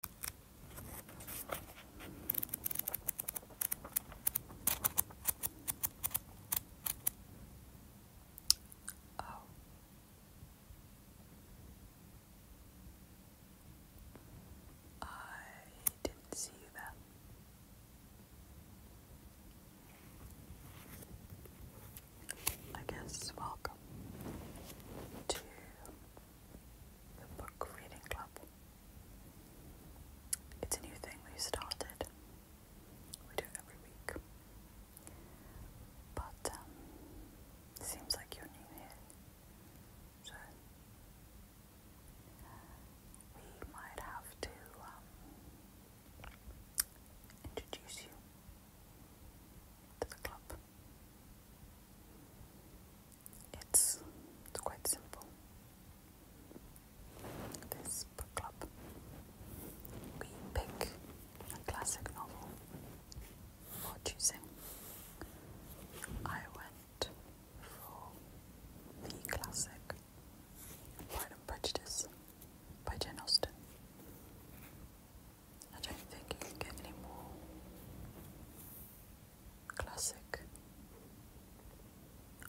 Oh. I didn't see that. I guess welcome to the book reading club. It's a new thing we started. We do every week. But um, seems like you're new here. So we might have to um, introduce you to the club. It's quite simple. This club we pick a classic novel for choosing. I went for the classic Pride and Prejudice by Jane Austen. I don't think you can get any more classic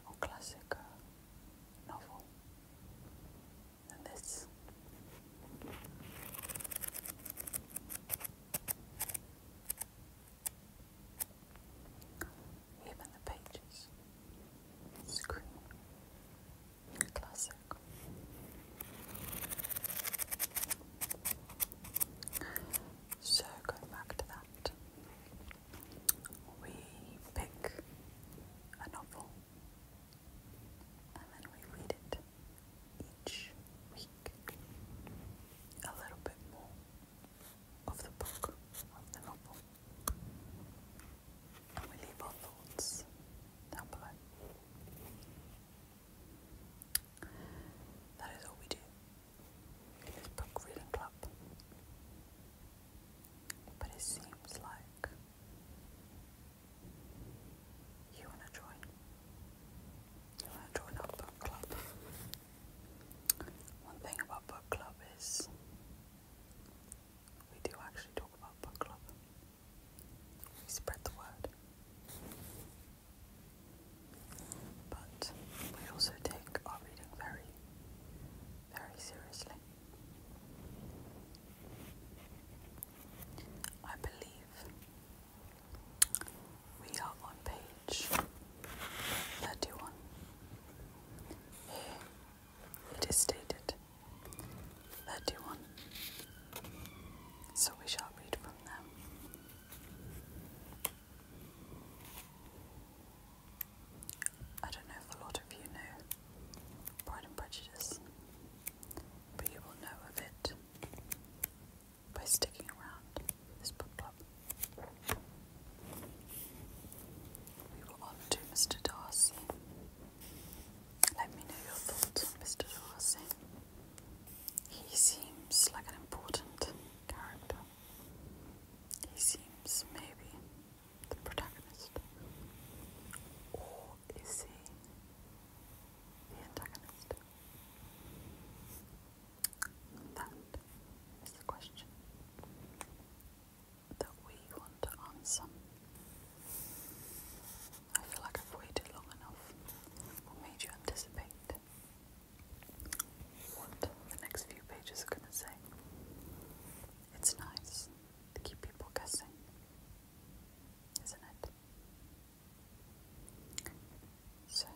or classic uh, novel than this. Even the pages scream classic. So, going back to that, we pick a novel and then we read it each week a little bit more of the book, of the novel, and we leave our thoughts down below. That is all we do in this book reading club. But it seems like you want to join. You want to join our book club. One thing about book club is we do actually talk about book club. We spread the word. But we also take our reading very, very seriously. I believe we are on page 31. Here it is stated 31. So we shall read from them. I don't know if a lot of you know Pride and Prejudice, but you will know of it by sticking around this book club. We were on to Mr. Darcy. Let me know your thoughts Mr. Darcy. He seems like an important character. He seems maybe the protagonist. Or is he the antagonist? That is the question that we want to answer. I feel like I've waited long enough. What made you anticipate what the next few pages are going to say. It's nice to keep people guessing, isn't it? So,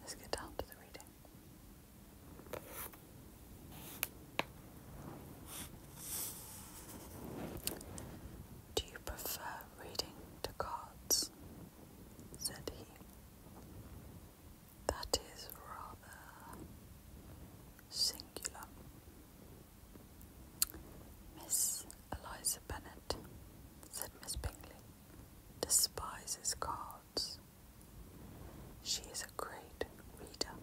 let's get down to the reading. Do you prefer reading the cards, said he. That is rather singular. Miss Eliza Bennet, said Miss Bingley, despises cards. She is a great reader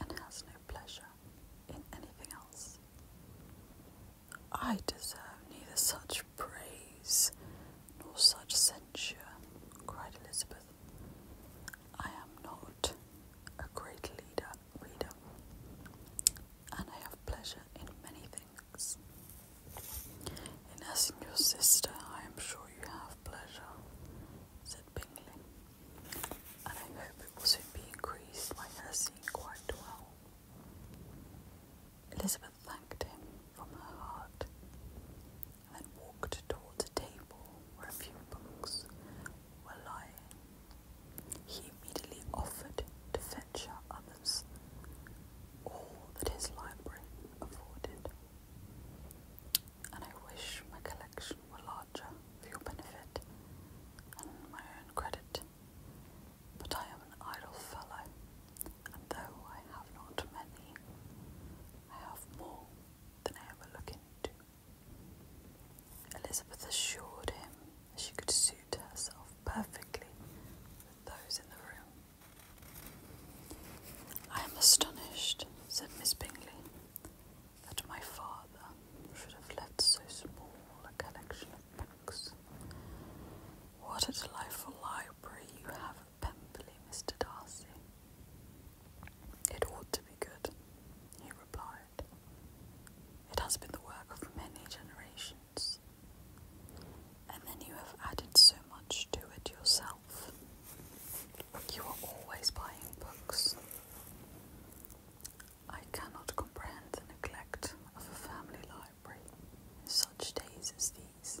and has no pleasure in anything else. I deserve neither such praise nor such censure, cried Elizabeth. I am not a great leader, reader, and I have pleasure in many things. In asking your sister, I am sure you have pleasure, said Bingley, and I hope it will soon be increased by her seeing quite well. Elizabeth thanked him from her heart and then walked towards a table where a few books were lying. He immediately offered to fetch her others, all that his library afforded. And I wish my collection were larger for your benefit and my own credit. But I am an idle fellow, and though I have not many, I have more than I ever look into. Elizabeth assured him she could suit herself perfectly with those in the room. I am astonished, said Miss Bingley, that my father should have left so small a collection what a delightful library you have at Pemberley, Mr. Darcy. It ought to be good, he replied. It has been the work of many generations. And then you have added so much to it yourself. You are always buying books. I cannot comprehend the neglect of a family library in such days as these.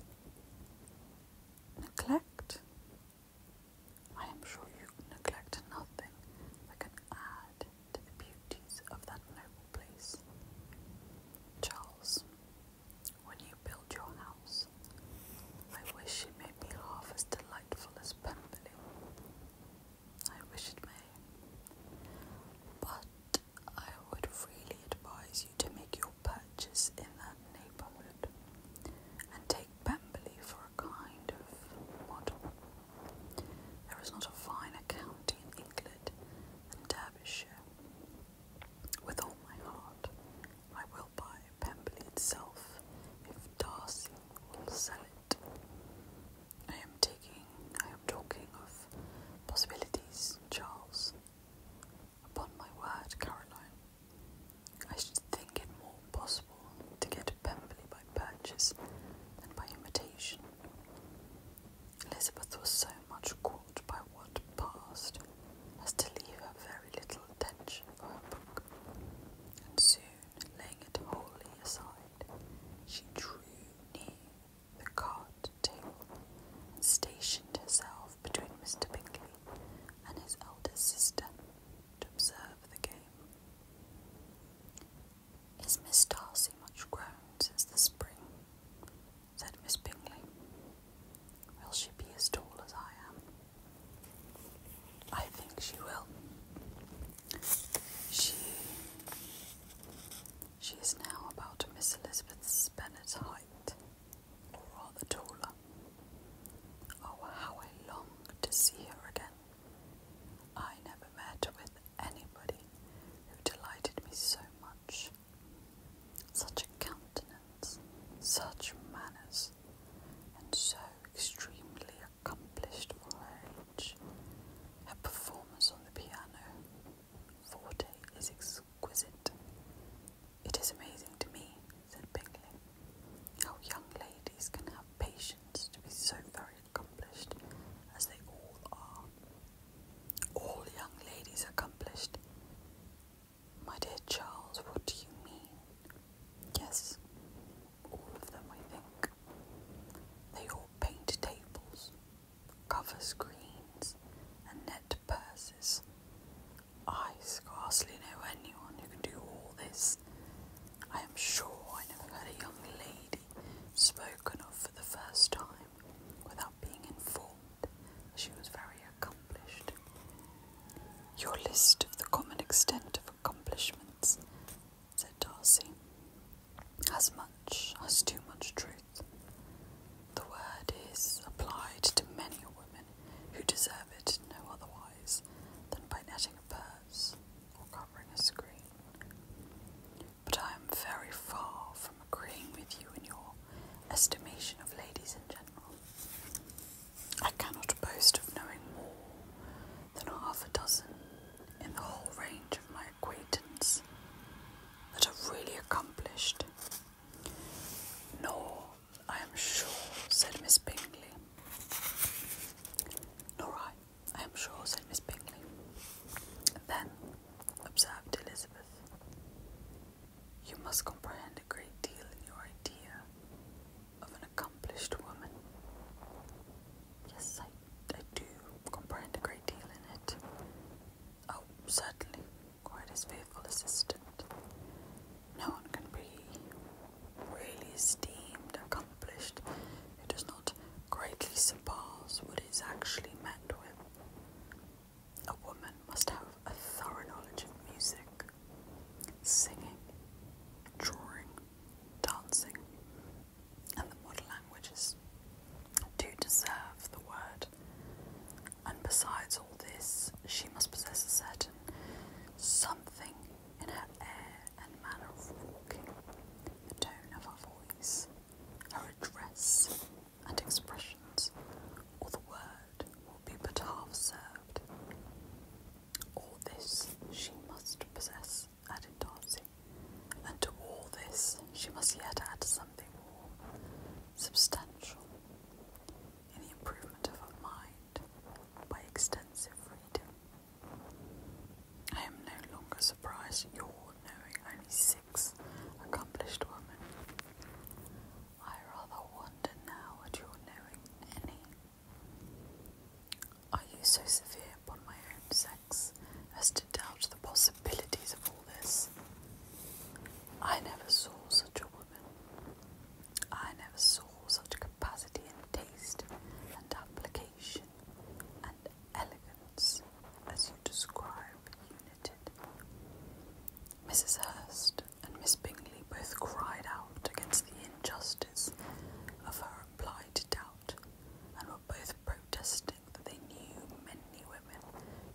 Neglect? I am sure you neglect nothing that can add to the beauties of that noble place. Charles, when you build your house, I wish you made me half as delightful as Pemberley. I wish it may. But I would freely advise you to make your purchase in that neighbourhood and take Pemberley for a kind of model. There is not a finer county in England than Derbyshire. With all my heart, I will buy Pemberley itself if Darcy will sell it. I am taking, I am talking of possibilities, Charles. Upon my word, Caroline, I should think it more possible to get Pemberley by purchase than by imitation. Elizabeth was so much caught by what passed as to leave her very little attention for her book, and soon laying it wholly aside, she drew near the card table and stationed herself between Mr. Bingley and his elder sister to observe the game. Is Miss Darcy much grown since the spring? said Miss Bingley. Will she be as tall as I am? I think she will, she she is now about Miss Elizabeth Spennet's height, or rather taller. Oh, how I long to see her again. I never met with anybody who delighted me so much. Such a countenance, such manners, and so extremely accomplished Morange. Her performance on the piano, forte, is exquisite. It is amazing to me, said Bingley, how young ladies can have patience to be so very accomplished as they all are. All young ladies accomplished. My dear Charles, what do you mean? Yes, all of them, I think. They all paint tables, cover screens, and net purses. I scarcely know anyone who can do all this. I am sure I never had a young lady spoken of for the first time without being informed she was very accomplished. Your list of the common extent of accomplishments, said Darcy. "As much, as too much truth. The word is applied to many a woman who deserve it no otherwise than by netting a purse or covering a screen. But I am very far from agreeing with you in your estimation of ladies in general. I cannot boast of knowing more than half a dozen in the whole range of my acquaintance that are really accomplished. Nor, I am sure, said Miss Bingley. Nor I, I am sure, said Miss Bingley. then, observed Elizabeth, you must comprehend a great deal in your idea of an accomplished woman. Yes, I, I do comprehend a great deal in it. Oh, certainly, quite his faithful assistant. No one can be really esteemed, accomplished, who does not greatly surpass what is actually met with. A woman must have a thorough knowledge of music, singing, drawing, dancing, and the modern languages do deserve the word. And besides all this, she must possess a certain something in her air and manner of walking, the tone of her voice, her address and expressions, or the word will be but half served. All this she must possess added Darcy, and to all this she must yet add something more substantial in the improvement of her mind by extensive reading. I am no longer surprised at your knowing only six accomplished women. I rather wonder now at your knowing any. Are you so severe upon my own sex as to doubt the possibilities of all this? I never saw such a woman. I never saw such capacity and taste and application and elegance as you describe united. Mrs. Hurst and Miss Bingley both cried out against the injustice of her implied doubt and were both protesting that they knew many women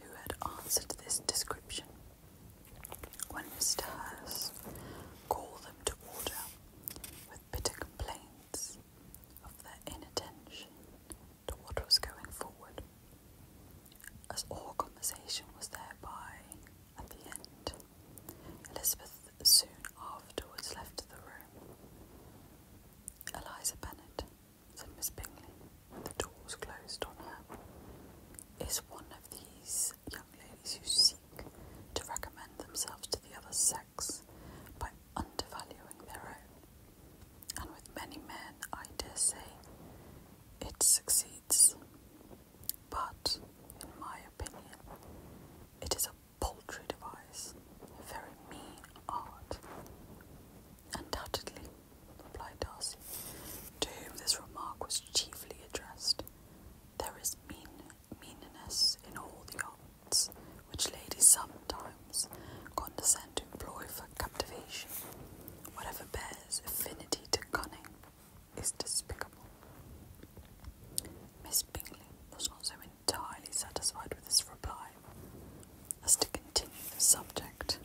who had answered this description. When Mr. Hurst called them to order with bitter complaints of their inattention to what was going forward, as all conversation was thereby at the end, Elizabeth Smith soon afterwards left the room. Eliza Bennet, said Miss Bingley, when the door was closed on her, is one of these young ladies who seek to recommend themselves to the other sex by undervaluing their own. And with many men, I dare say, it succeeds. But, in my opinion, it is a poultry device, very mean art. Undoubtedly, replied Darcy, to whom this remark was chiefly addressed, there is mean meanness in all the arts which ladies sometimes condescend to employ for captivation. Whatever bears affinity to cunning is despicable. Miss Bingley was not entirely satisfied with his reply as to continue the subject.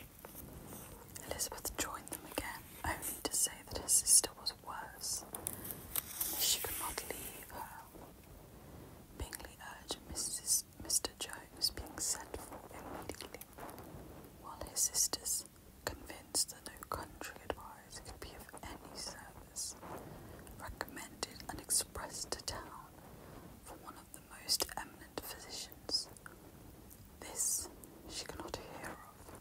Elizabeth joined them again, only to say that her sister was worse and she could not leave her. Bingley urged Mrs. Mr. Jones being sent for immediately, while his sisters, convinced that no country advice could be of any service, service, recommended and expressed to town from one of the most eminent physicians. This she cannot hear of,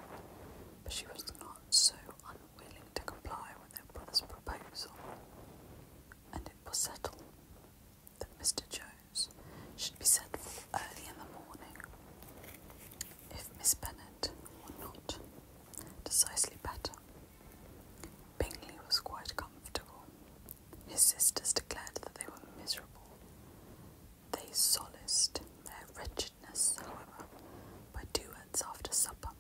but she was not so unwilling to comply with her brother's proposal, and it was settled that Mr. Jones should be sent for early in the morning. If Miss Bennet were not decisively better, Bingley was quite comfortable. His sisters declared that they were miserable. They solaced their wretchedness, however, by duets after supper,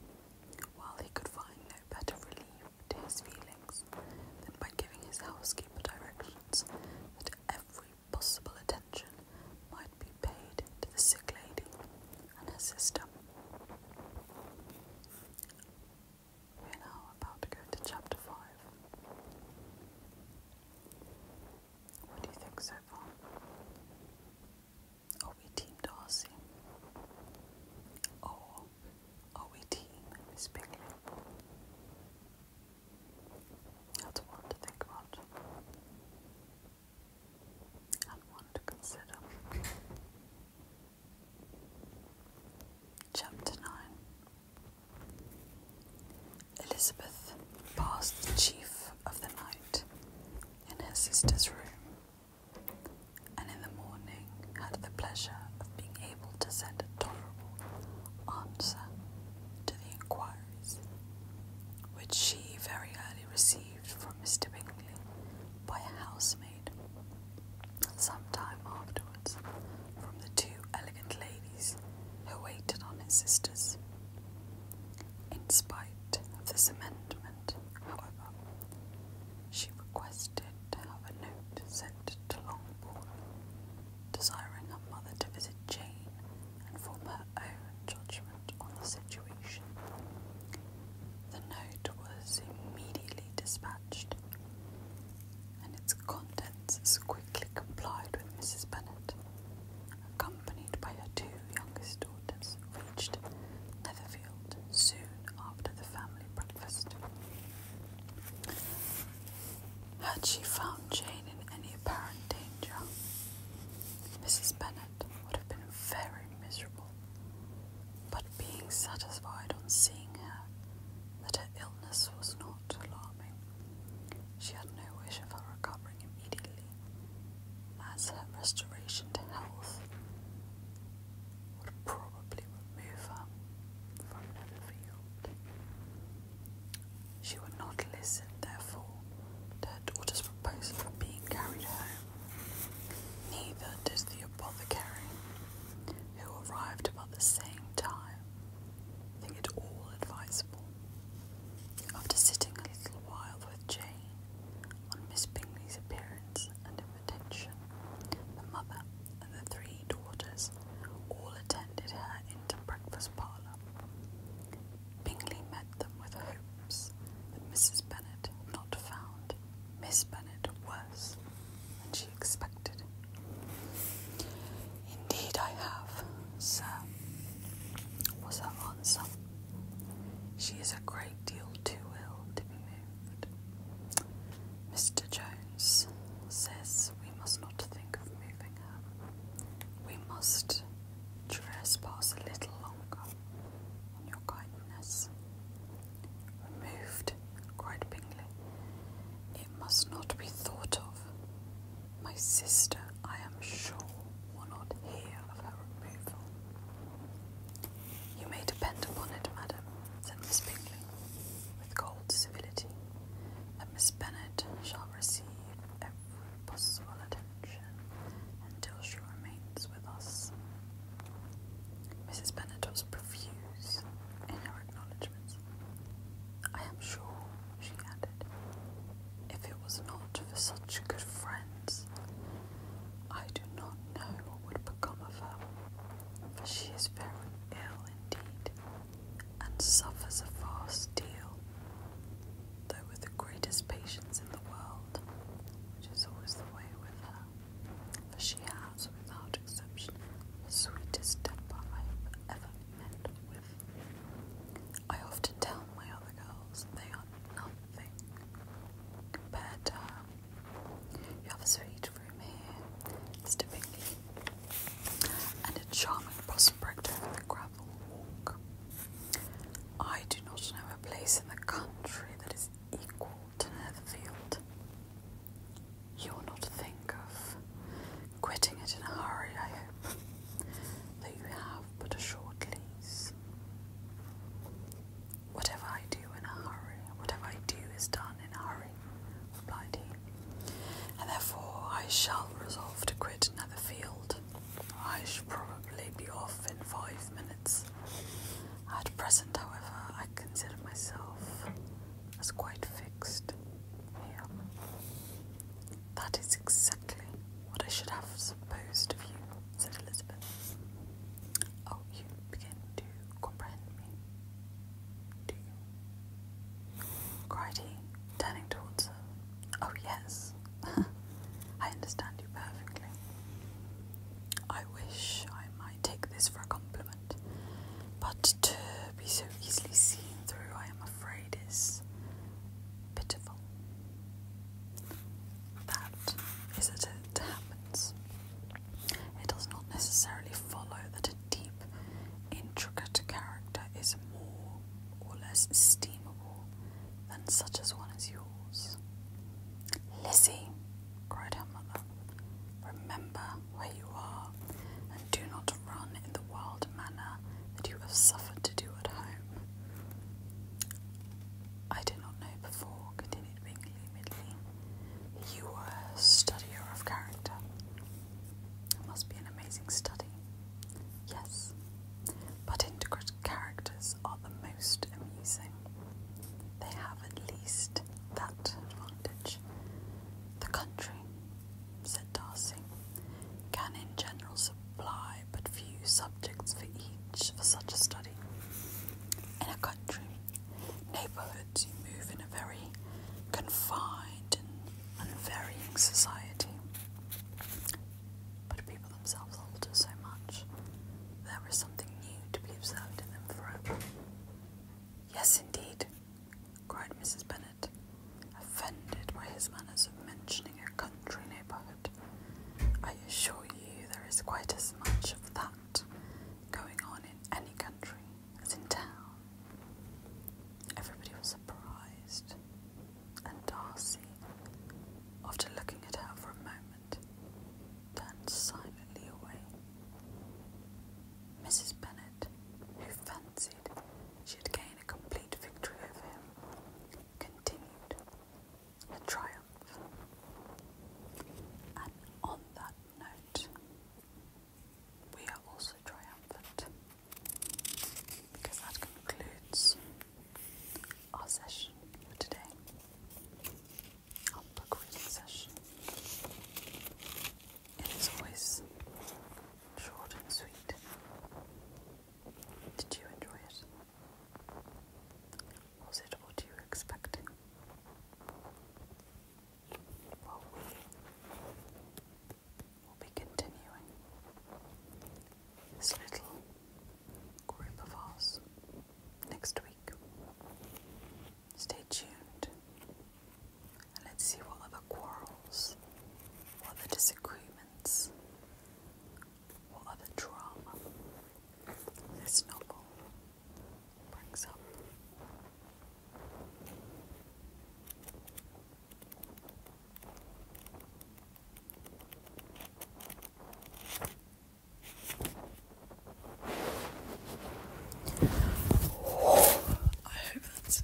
while he could find no better relief to his feelings than by giving his housekeeper directions that every possible attention might be paid to the sick lady and her sister. We're now about to go to chapter 5. What do you think so far? Are we Team Darcy? Or are we Team Miss Bingley? That's one to think about and one to consider. Chapter 9 Elizabeth passed the chief of the night in her sister's room, and in the morning had the pleasure of being able to send a tolerable answer to the inquiries, which she very early received from Mr. Bingley by a housemaid some time afterwards from the two elegant ladies who waited on his sisters. In spite of this amendment, however, she requested to have a note sent to Longbourn, desiring her mother to visit Jane and form her own judgment on the situation. The note was immediately dispatched, and its contents quickly complied with Mrs. Bennet, accompanied by her two youngest daughters, reached Netherfield soon after the family breakfast. Had she found Jane in any apparent danger, Mrs. Bennet would have been very miserable but being satisfied on seeing her that her illness was not alarming, she had no wish of her recovering immediately, as her restoration to health would probably remove her from another field. She would not listen, therefore, to her daughter's proposal of being carried home. Neither did the apothecary, who arrived about the same time, think it all advisable. After sitting a little while with Jane on Miss Bingley's appearance and invitation, the mother and the three daughters all attended her into breakfast parlour. Bingley met them with hopes that Mrs. Bennet had not found Miss Bennet was than she expected. Indeed, I have, sir, was her answer. She is a great deal too ill to be moved. Mr. Jones says we must not think of moving her. We must trespass a little longer your kindness. Removed, cried Bingley. It must not be thought of. My sister, I am sure, will not hear of her removal. You may depend upon it, madam, said Miss Bingley, with cold civility, that Miss Bennet shall receive every possible attention until she remains with us. Mrs. Bennet was profuse in her acknowledgements. I am sure, she added, if it was not for such good friends, I do not know what would become of her, for she is very ill indeed, and suffers a vast deal, though with the greatest patience in the world, which is always the way with for she has, without exception, the sweetest temper I ever met with. I often tell my other girls they are nothing compared to her. You have a sweet room here, Mr. and a charming prospect over the gravel walk. I do not know a place in the country that is equal to Netherfield. You'll not think of quitting it in a hurry, I hope, though you have but a short lease. Whatever I do in a hurry, whatever I do is done in a hurry, replied he, and therefore I shall resolve to quit Netherfield. I shall probably be off in five minutes. At present, however, I consider myself as quite fixed here. That is exactly what I should have supposed of you, said Elizabeth. Oh, you begin to comprehend me, do you? cried he, turning towards her. Oh, yes, I understand you perfectly. I wish I might take this for a compliment, but to be so easily seen through, I am afraid, is pitiful. That is it happens. It does not necessarily follow that a deep, intricate character is more or less esteemable than such as one as yours. Lizzie, cried her mother, remember where you are, and do not run in the wild manner that you have suffered to do at home. I did not know before, continued Winkley Midley, you were a studier of character. It must be an amazing study. Yes, but intricate characters are the most amusing they have at least that advantage. The country, said Darcy, can in general supply but few subjects for each for such a study. In a country, neighbourhoods you move in a very confined and unvarying society. But people themselves alter so much, there is Yes, indeed, cried Mrs. Bennet, offended by his manners of mentioning a country neighbourhood. I assure you there is quite as much of that going on in any country as in town. Everybody was surprised, and Darcy, after looking at her for a moment, Bennet turned silently away. Mrs. Bennet, who fancied she had gained a complete victory over him, continued a triumph. And on that note, we are also triumphant because that concludes our session for today, our book reading session. It is always short and sweet. Did you enjoy it? Was it what you were expecting? Well, we'll be continuing this little group of us next week. Stay tuned and let's see what other quarrels, what other disagreements, what other drama this novel brings up. I hope that's.